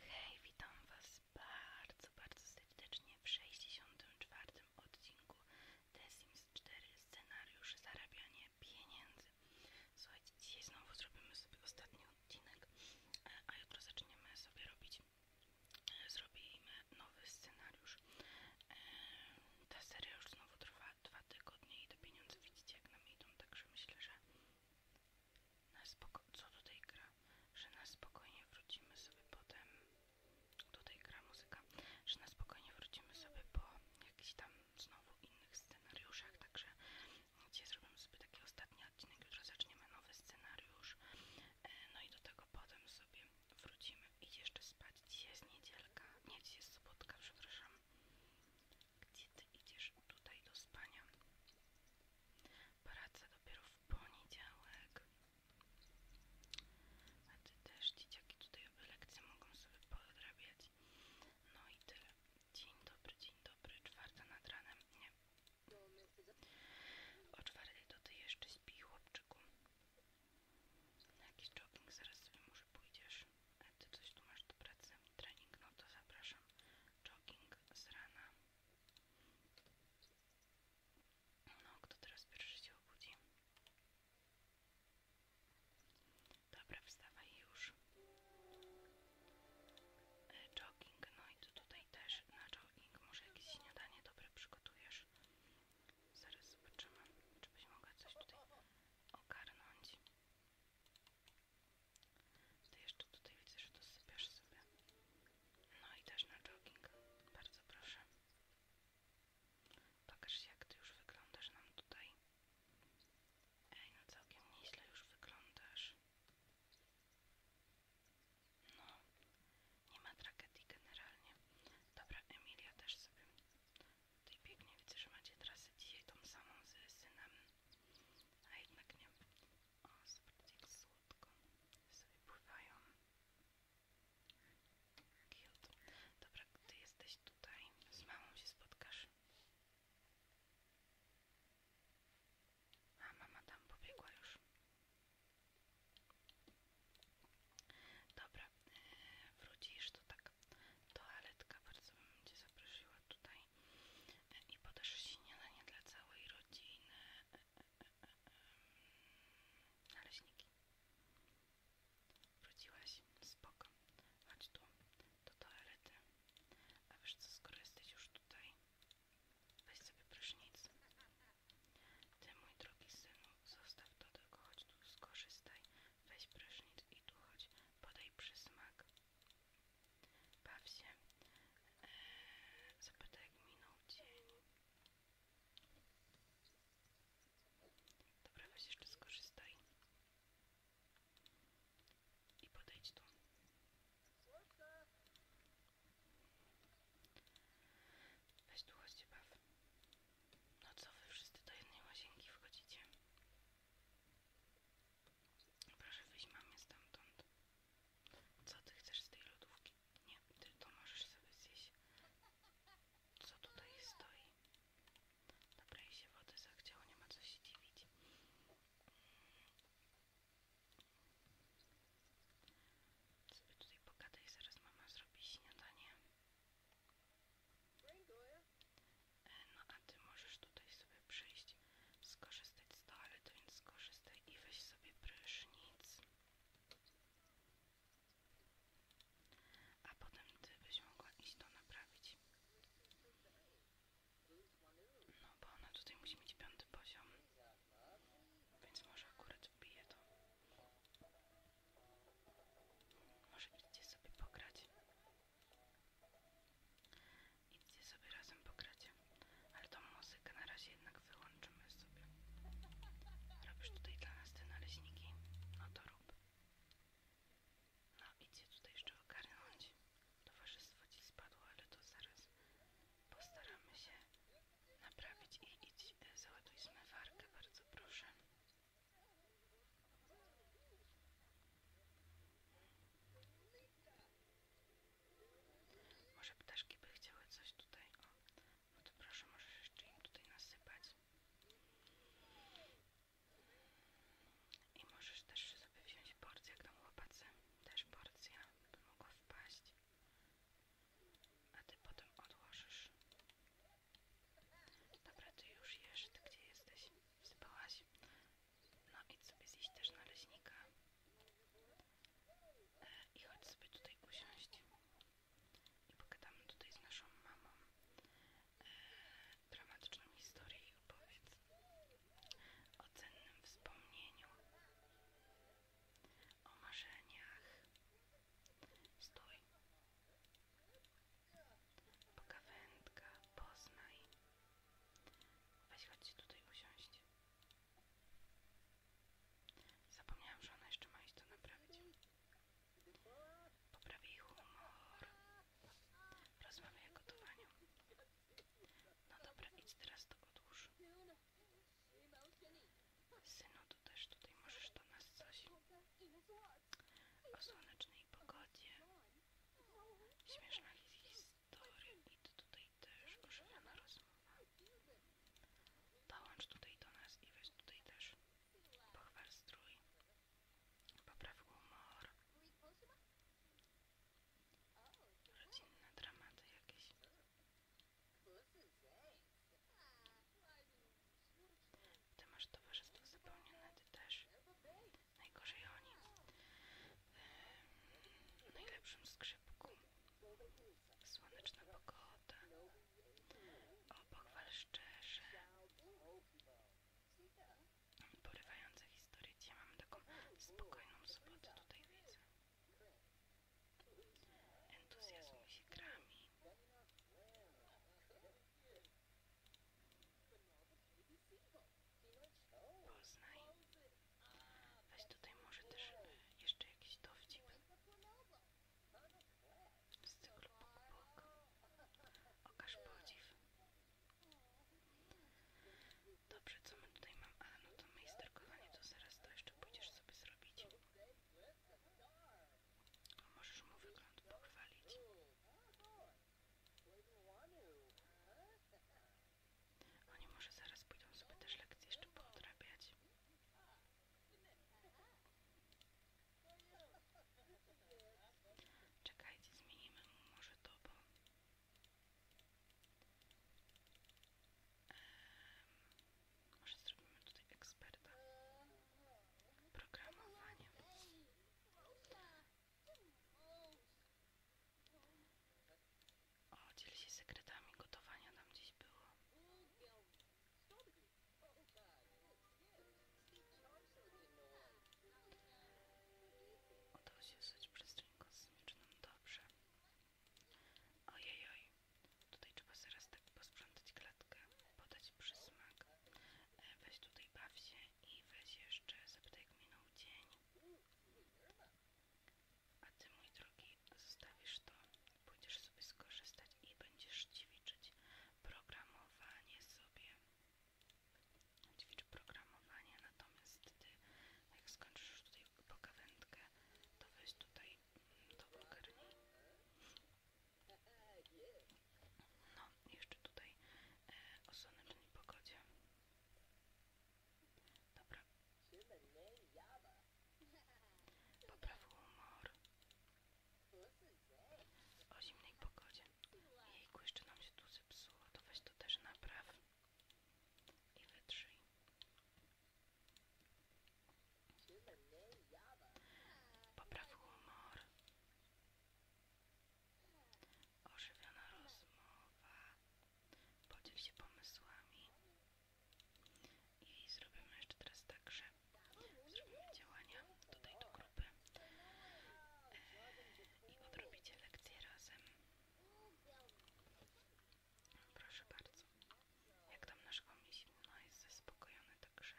Hej, witam Was bardzo, bardzo serdecznie w 64 odcinku The Sims 4 Scenariusz Zarabianie Pieniędzy. Słuchajcie, dzisiaj znowu zrobimy sobie ostatni odcinek, a jutro zaczniemy sobie robić, zrobimy nowy scenariusz. Ta seria już znowu trwa dwa tygodnie i te pieniądze widzicie jak nam idą, także myślę, że co tutaj gra, że na spokojnie wrócimy sobie potem, tutaj gra muzyka, że na spokojnie wrócimy sobie po jakichś tam znowu innych scenariuszach, także dzisiaj zrobimy sobie taki ostatni odcinek, już zaczniemy nowy scenariusz, e, no i do tego potem sobie wrócimy. i jeszcze spać, dzisiaj jest niedzielka, nie, dzisiaj jest sobotka, przepraszam. Gdzie ty idziesz tutaj do spania? Praca dopiero w poniedziałek. A ty też, dzieciaki, tutaj lekcje mogą sobie podrabiać. No i tyle. Dzień dobry, dzień dobry. Czwarta nad ranem. Nie. O czwartej to ty jeszcze śpi, chłopczyku. Na jakiś jogging zaraz sobie może pójdziesz. A ty coś tu masz do pracy. Trening, no to zapraszam jogging z rana. No, kto teraz pierwszy się obudzi? Dobra, wstawaj już. E, jogging, no i tu tutaj też na jogging. Może jakieś śniadanie dobre przygotujesz? Zaraz zobaczymy, czy byś mogła coś tutaj ogarnąć. Ty jeszcze tutaj widzę, że to sobie. No i też na jogging. Bardzo proszę. Pokaż się, jak ty już wyglądasz nam tutaj. Ej, no całkiem nieźle już wyglądasz. No, nie ma tragedii generalnie. Dobra, Emilia też sobie. Tutaj pięknie widzę, że macie trasę dzisiaj tą samą z synem a jednak nie. O, zobaczcie jak słodko sobie pływają. Cute. Dobra, gdy jesteś tutaj, z mamą się spotkasz. A mama tam pobiegła już. Dobra, e, wrócisz to tak. Toaletka, bardzo bym Cię zaprosiła tutaj i podasz śniadanie dla całej rodziny naleśniki wróciłaś? spoko chodź tu, do toalety a wiesz co, skoro już tutaj weź sobie prysznic ty mój drogi synu zostaw to tylko chodź tu skorzystaj weź prysznic i tu chodź podaj przysmak Baw się. Eee, zapytaj, jak minął dzień. Dobra, weź jeszcze skorzystaj. I podejdź tu. Weź tu, chodźcie, baw. No co, wy wszyscy do jednej łazienki wchodzicie? Proszę wyjść mamie stamtąd. Co ty chcesz z tej lodówki? Nie, ty to możesz sobie zjeść. Co tutaj stoi? Dobra, jej się wody zachciało, nie ma co się dziwić. Sobie tutaj pogadaj, zaraz mama zrobi śniadanie. No a ty możesz tutaj sobie przyjść, skorzystać z toalety, więc skorzystaj i weź sobie prysznic. A potem ty byś mogła iść to naprawić. No bo ona tutaj musi mieć piąty poziom. Więc może akurat wbije to. Może idźcie sobie pograć. Idźcie sobie razem pokracie. Ale tą muzykę na razie jednak wyłączymy sobie. Robisz tutaj dla nas te naleśniki? No to rób. No idźcie tutaj jeszcze ogarnąć. Towarzystwo ci spadło, ale to zaraz postaramy się naprawić i idź e, załatuj zmywarkę, bardzo proszę. Może ptaszki by chciały coś tutaj, no to proszę, możesz jeszcze im tutaj nasypać. I możesz też sobie wziąć porcję, jak tam chłopacy, też porcja, by mogła wpaść. A ty potem odłożysz Dobra, ty już jesz, ty gdzie jesteś? Wsypałaś? No idź sobie zjeść też na E, I chodź sobie tutaj usiąść. I pogadamy tutaj z naszą mamą. E, dramatyczną historię i opowiedz o cennym wspomnieniu. O marzeniach. Stój. Pogawędka, Poznaj. Weź chodźcie tutaj usiąść. Zapomniałam, że ona jeszcze ma iść to naprawić. Poprawi ich humor. Rozmawiaj o gotowaniu. No dobra, idź teraz do odłóż. Synu, tu też tutaj możesz do nas coś o słonecznej pogodzie, śmieszna historia i to tutaj też ożywiona rozmowa. Dołącz tutaj do nas i weź tutaj też pochwal strój, popraw humor, rodzinne dramaty jakieś. Ty towarzystwo zapełnione, ty też. Najgorzej oni. W yy, najlepszym skrzypku. Słoneczna pogoda. O, pochwal szczerze. Porywające historie. Ja taką spokojną sobotę tutaj widzę. Entuzjazm się grami. Poznaj. Weź tutaj może też jeszcze jakiś dowcip z cyklu Puk Puk. Okaż podziw. Dobrze, co my tutaj mam? A, no to majsterkowanie, to zaraz to jeszcze pójdziesz sobie zrobić. Możesz mu wygląd pochwalić. Oni może zaraz pójdą sobie też lekcje jeszcze poodrabiać. Czekajcie, zmienimy może to, może zrobimy tutaj eksperta. Programowanie. O, dziel się sekretami gotowania nam gdzieś było. Udało się zać przestrzeń kosmiczną. Dobrze. Ojejoj. Tutaj trzeba zaraz tak posprzątać klatkę, podać przysmak. E, weź tutaj baw się i weź jeszcze zapytaj jak minął dzień. A ty mój drogi zostawisz to, będziesz sobie skorzystać i będziesz ćwiczyć programowanie sobie. Ćwicz programowanie, natomiast ty jak skończysz tutaj pogawędkę, to weź tutaj mm, do ogarnij. No, jeszcze tutaj e, o słonecznej pogodzie. Dobra. Popraw humor. O zimnej pogodzie. Jejku, jeszcze nam się tu zepsuło. To weź to też napraw. I wytrzyj. Popraw humor. Ożywiona rozmowa. Podziel się pomysłami. I zrobimy jeszcze teraz tak, że zrobimy działania tutaj do grupy e, i odrobicie lekcje razem. Proszę bardzo jak tam nasz komiś, no jest zaspokojony, także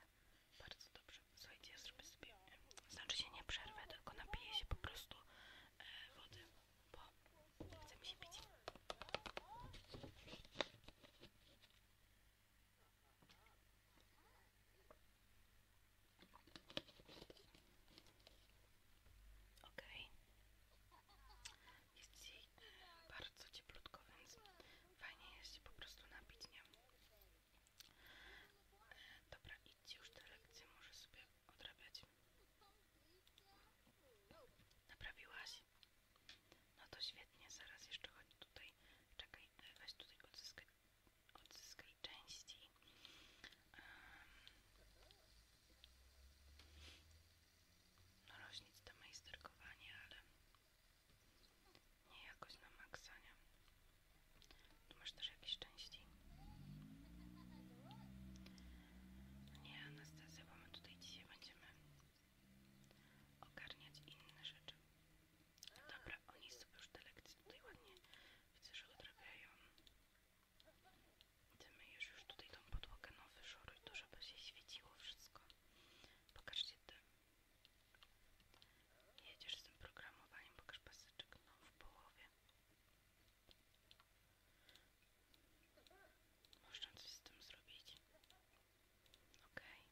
bardzo dobrze. Słuchajcie, ja zrobię sobie, znaczy się nie przerwę, tylko napiję się po prostu e, wody, bo chce mi się pić. Okej, jest dzisiaj e, bardzo cieplutko, więc fajnie jest się po prostu napić, nie? E, dobra, idźcie już te lekcje, może sobie odrabiać. Naprawiłaś? No to świetnie, zaraz jeszcze chodź tutaj, czekaj, e, weź tutaj odzyskaj, odzyskaj części. Um, no rośnic do majsterkowania, ale nie jakoś na maksa, nie? Tu masz też jakieś części? Nie, Anastazja, bo my tutaj dzisiaj będziemy ogarniać inne rzeczy. Dobra, oni sobie już te lekcje tutaj ładnie, widzę, że odrabiają. Ty myjesz już tutaj tą podłogę, nowy szoruj to, żeby się świeciło wszystko. Pokażcie ty. Jedziesz z tym programowaniem, pokaż paseczek, no w połowie. Można coś z tym zrobić. OK. Okay.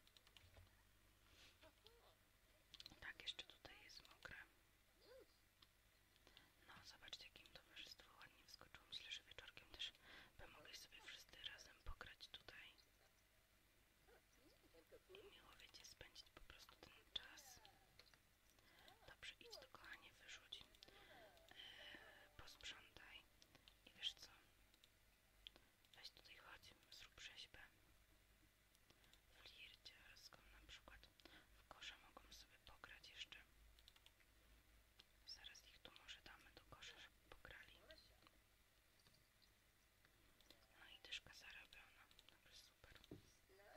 Tak, jeszcze tutaj jest mokre. No, zobaczcie, jakim towarzystwo ładnie wskoczyło. Myślę, że wieczorkiem też by mogli sobie wszyscy razem pokrać tutaj i miło wiecie spędzić po prostu ten czas dobrze idź do kochanie wyrzuć yy, posprzątaj i wiesz co weź tutaj chodź zrób rzeźbę w lircie na przykład w kosza mogą sobie pokrać jeszcze Zaraz ich tu może damy do kosza, żeby pokrali. No i tyszka zarabiona. Dobra, super. Dobra,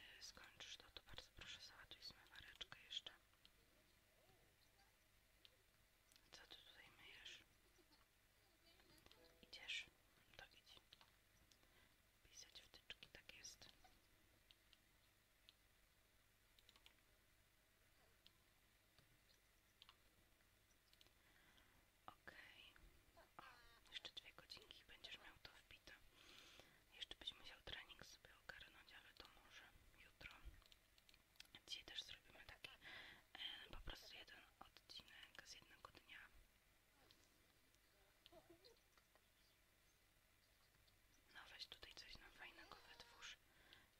e, skończysz to, to bardzo proszę załatwić mareczkę jeszcze. Co ty tutaj myjesz? Idziesz? To idź. Pisać wtyczki, tak jest. OK. Jeszcze dwie godzinki będziesz miał to wbite. Jeszcze byś musiał trening sobie ogarnąć, ale to może jutro. Dzisiaj też zrobimy taki e, po prostu jeden odcinek z jednego dnia. No weź tutaj coś nam fajnego wytwórz.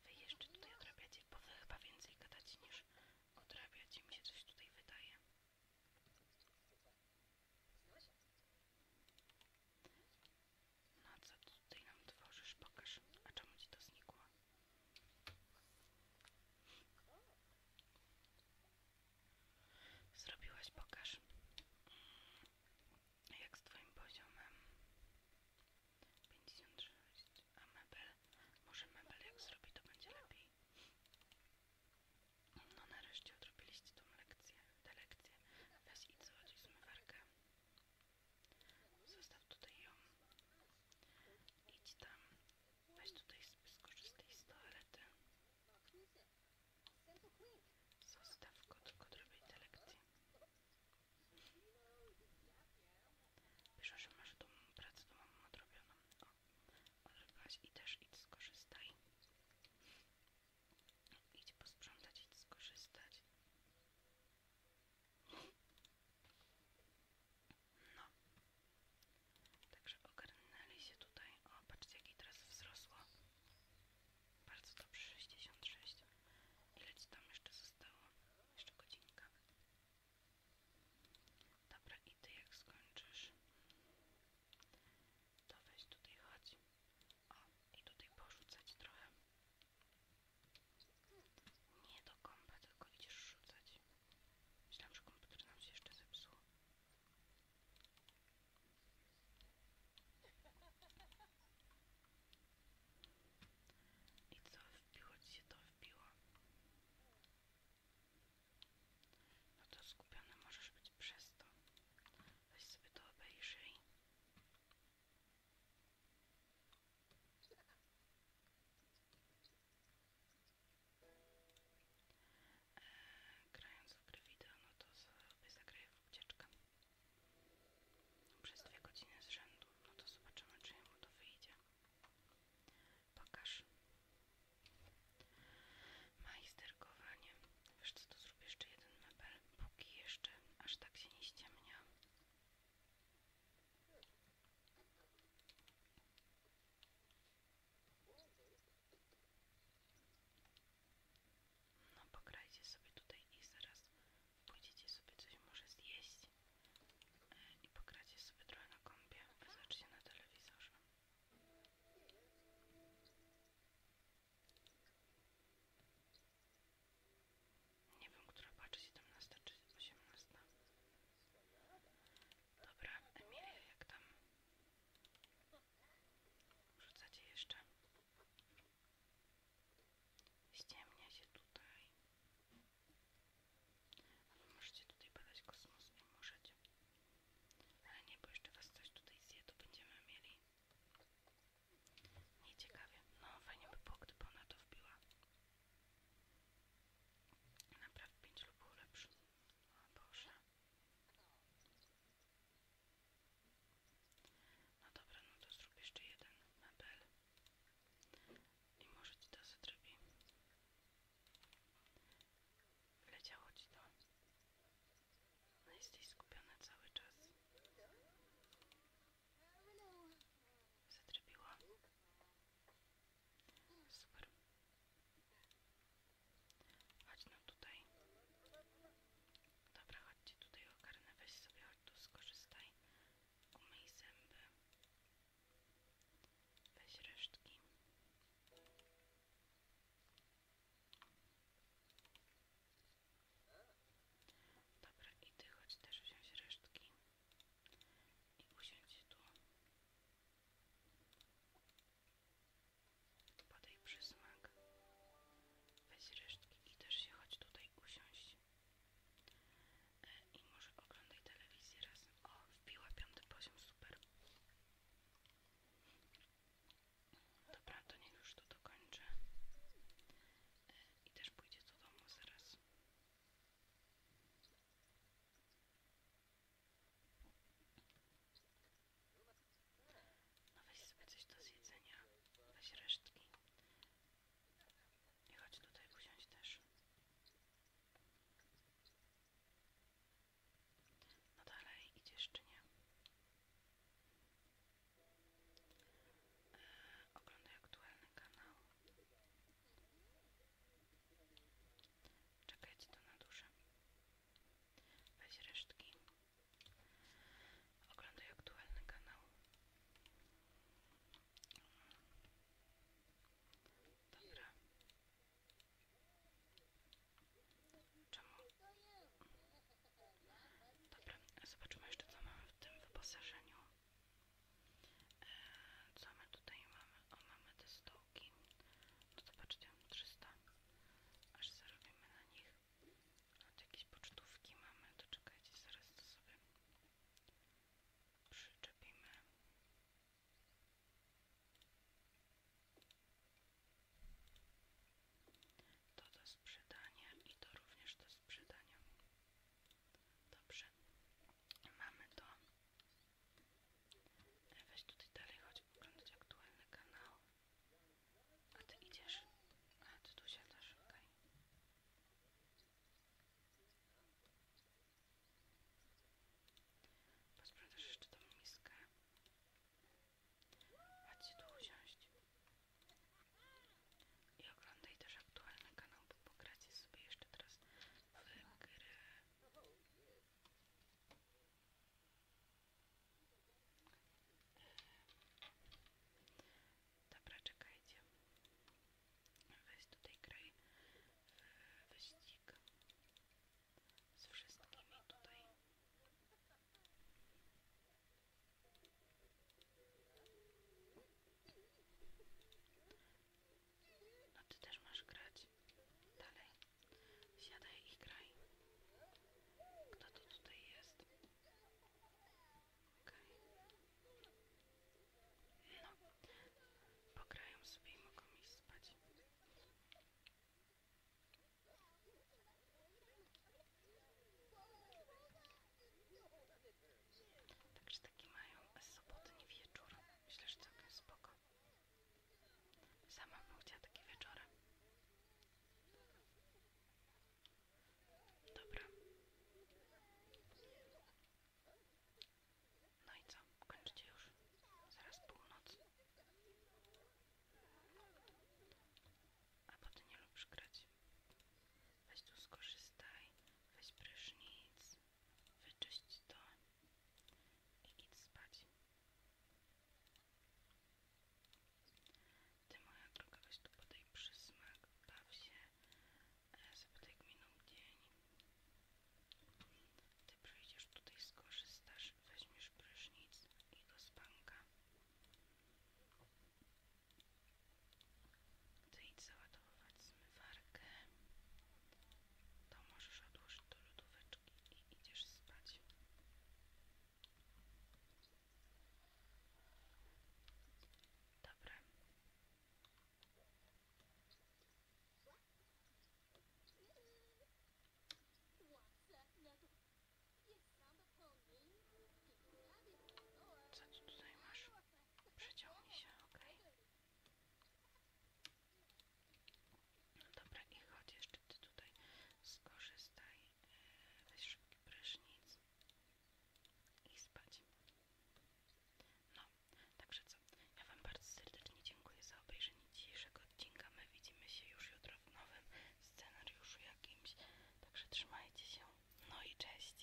Wy jeszcze tutaj odrabiacie, bo wy chyba więcej gadacie niż odrabiacie. Mi się coś tutaj wydaje. No co tutaj nam tworzysz? Pokaż. A czemu ci to znikło? Zrobiłaś, pokaż. Jak z Twoim poziomem? 56. A mebel? Może mebel jak zrobi, to będzie lepiej. No nareszcie odrobiliście tą lekcję, tę lekcję. Weź idź złodziej zmywarkę. Zostaw tutaj ją. Idź tam. Weź tutaj skorzystaj z toalety. Zostaw go, tylko robię te lekcje. Pisze, że masz tą pracę domową odrobioną. O, odbyłaś i też idź skorzystaj. Idź posprzątać, idź skorzystać. No. Także ogarnęli się tutaj. O, patrzcie, jaki teraz wzrosło. Bardzo dobrze, 66. Ile ci tam jeszcze zostało? Jeszcze godzinka. Dobra, i ty jak skończysz, to weź tutaj chodź. O, i tutaj porzucać trochę. Nie do kompa, tylko idziesz rzucać. Myślałam, że komputer nam się jeszcze zepsuł. To co, wbiło ci się to wbiło? No to skupiony możesz być przez to. Weź sobie to obejrzyj. E, grając w gry wideo, no to sobie zagraję w ucieczkę przez dwie godziny z rzędu, no to zobaczymy czy mu to wyjdzie pokaż majsterkowanie wiesz co, to zrobię jeszcze jeden mebel póki jeszcze aż tak się nie ściemnia no pograjcie sobie tutaj i zaraz pójdziecie sobie coś może zjeść e, i pogracie sobie trochę na kąpie, zobaczcie na telewizorze. Nie wiem, która patrzy 17 czy 18. Dobra, Emilia, jak tam? Rzucę jeszcze. Ściemnia się tutaj. możecie tutaj badać kosmos, nie możecie. Ale nie, bo jeszcze was coś tutaj zje, będziemy mieli. Nie Nieciekawie. No, fajnie by było, gdyby ona to wbiła. Napraw pięć lub o lepszy. No dobra, no to zrób jeszcze jeden mebel. I może ci to zadrobi. Wleciało ci to. No jesteś skupiony cały czas. Zadrobiła. Super. Chodź no tutaj. Dobra, chodźcie tutaj ogarnę. Weź sobie chodź tu, skorzystaj. Umyj zęby. Weź resztki. Dobra, i ty chodź też wziąć resztki. I usiądź tu. Podaj przysmak. Weź resztki i też się chodź tutaj usiąść. E, I może oglądaj telewizję razem. O, wbiła piąty poziom, super. Dobra, to niech już to dokończę. E, I też pójdzie do domu zaraz. No weź sobie coś do zjedzenia. Weź resztki. I chodź tutaj usiąść też. No dalej, idziesz czy nie? Yy, oglądaj aktualny kanał. Czekajcie to na duszę. Weź resztki. Oglądaj aktualny kanał. Dobra. Czemu? Dobra, zobaczmy jeszcze co mamy w tym wyposażeniu. E, co my tutaj mamy? O, mamy te półki. No zobaczcie, 300. Aż zarobimy na nich. A no, jakieś pocztówki mamy, to czekajcie, zaraz to sobie przyczepimy. To do sprzedania i to również do sprzedania. Dobrze. Mamy to. Weź tutaj dalej, chodź oglądać aktualny kanał. A ty idziesz? A ty tu siadasz, okej. Okay. Posprzątasz jeszcze tą miskę. Chodź się tu usiąść. I oglądaj też aktualny kanał, bo pogracie sobie jeszcze teraz w gry Dobra, czekajcie. Weź tutaj kraj e, wyścig z wszystkimi tutaj. No ty też masz grać. Dalej. Siadaj i graj. Kto to tutaj jest? Okej. No. Pograją sobie i mogą iść spać. Także taki mają sobotni wieczór. Myślę, że całkiem spoko. Sama bym chciała takie wieczory. Dobra. No i co? Kończycie już? Zaraz północ. A potem nie lubisz grać. Weź tu skorzystaj, weź prysznic wyczyść to i idź spać. Ty moja droga, weź tu podaj przysmak, baw się, zapytaj e, gminą dzień. Ty przyjdziesz tutaj, skorzystasz, weźmiesz prysznic i do spanka. Chcę iść załadowywać zmywarkę. To możesz odłożyć do lodóweczki i idziesz spać. Dobra. Co tu tutaj masz? Przeciągnij się, okej. Dobra, i chodź jeszcze ty tutaj skorzystaj, e, weź szybki prysznic i spać. No, także co? Ja Wam bardzo serdecznie dziękuję za obejrzenie dzisiejszego odcinka. My widzimy się już jutro w nowym scenariuszu jakimś. Także trzymajcie się. No i cześć.